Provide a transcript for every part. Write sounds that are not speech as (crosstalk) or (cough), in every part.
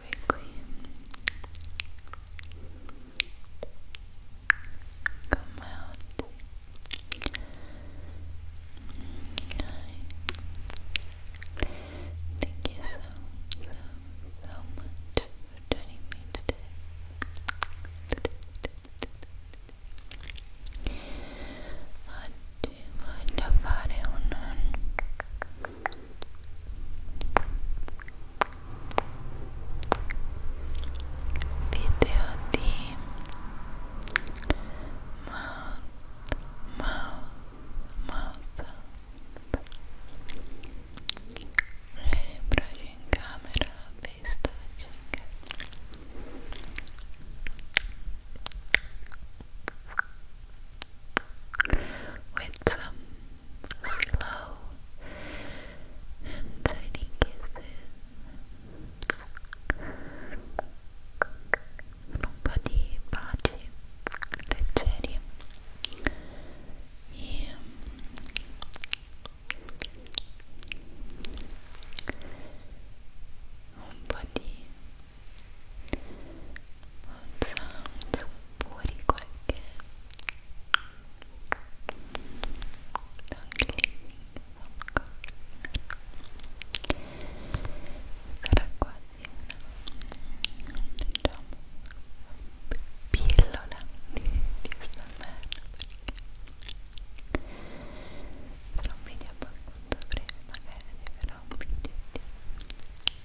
quickly. Come out. Thank you so, so, so much for joining me today. Oggi voglio fare un video di mouth, mouth, mouth e braccia in camera, face touching with some slow and tiny kisses. Un po' di baci leggeri e un po' sounds fuori qualche sarà quasi una diciamo pillola di, di stamerno perché sarà un video abbastanza breve magari però un video di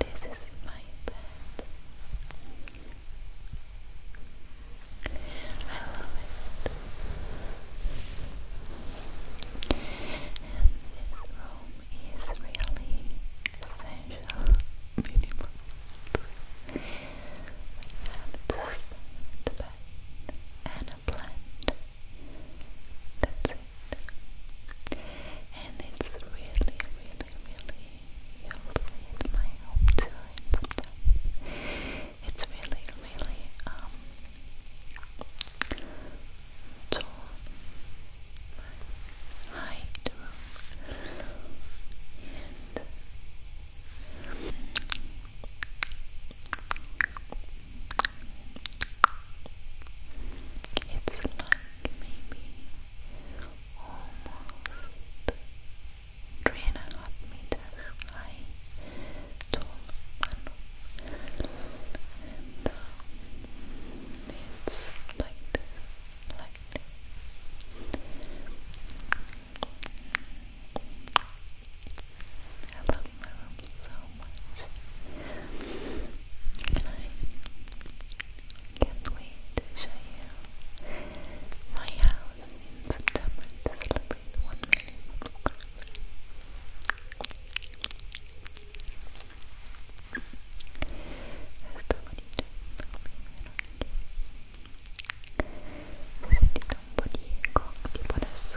This is my bed. I love it. And this room is really essential, minimal. We just the bed and a plant. That's it. And it's really, really, really helpful at my home it's really, really um to hide and it's like maybe almost three and a half meters high, tall one, and uh, it's like this, like this. I love room so much. And I can't wait to show you my house in September to celebrate 1 million Sentite un po' di eco tipo adesso.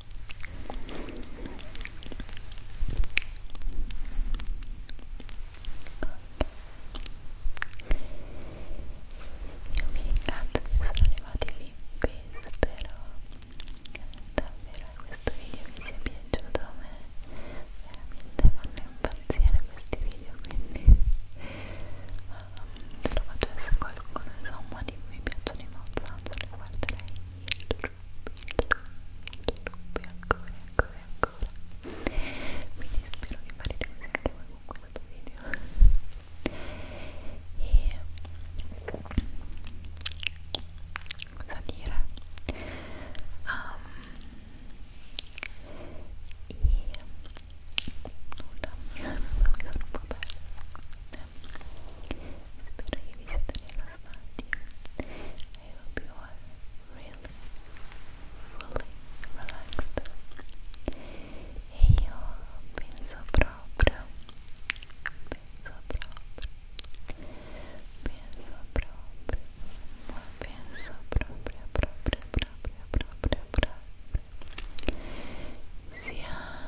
Io mi ringrazio di essere arrivati lì qui, spero davvero che questo video vi sia piaciuto, a me veramente fanno impazzire questi video, quindi um, eh, se lo facesse qualcuno insomma di cui mi piacciono i mozzanzoli guarderei il loop, il loop, il loop ancora, ancora, ancora quindi spero che farete così anche voi con questo video e cosa dire um, e nulla, (laughs) mi sono un po' persa Spero che vi siate rilassati. I hope you are really, fully relaxed. E io penso proprio, penso proprio, penso proprio, ma penso proprio, proprio, proprio, proprio,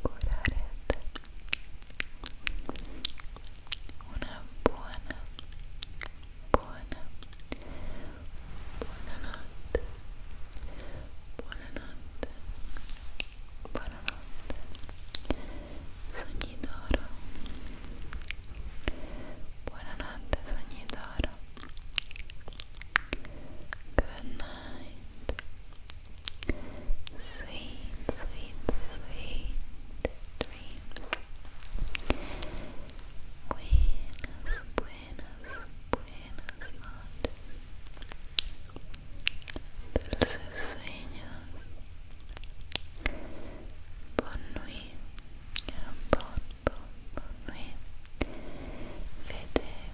curarete una buona buona buonanotte buonanotte buonanotte sogni d'oro buonanotte sogni d'oro good night sweet, sweet, sweet dreams. Buenas, buenas, buenas noches. Dulces sueños. Bonne nuit. Bonne, bonne, bonne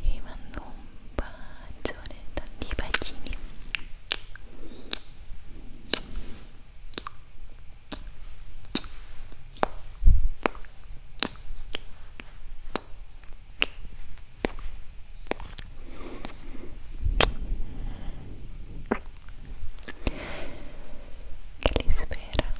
vi mando un bacione, tanti bacini che li spera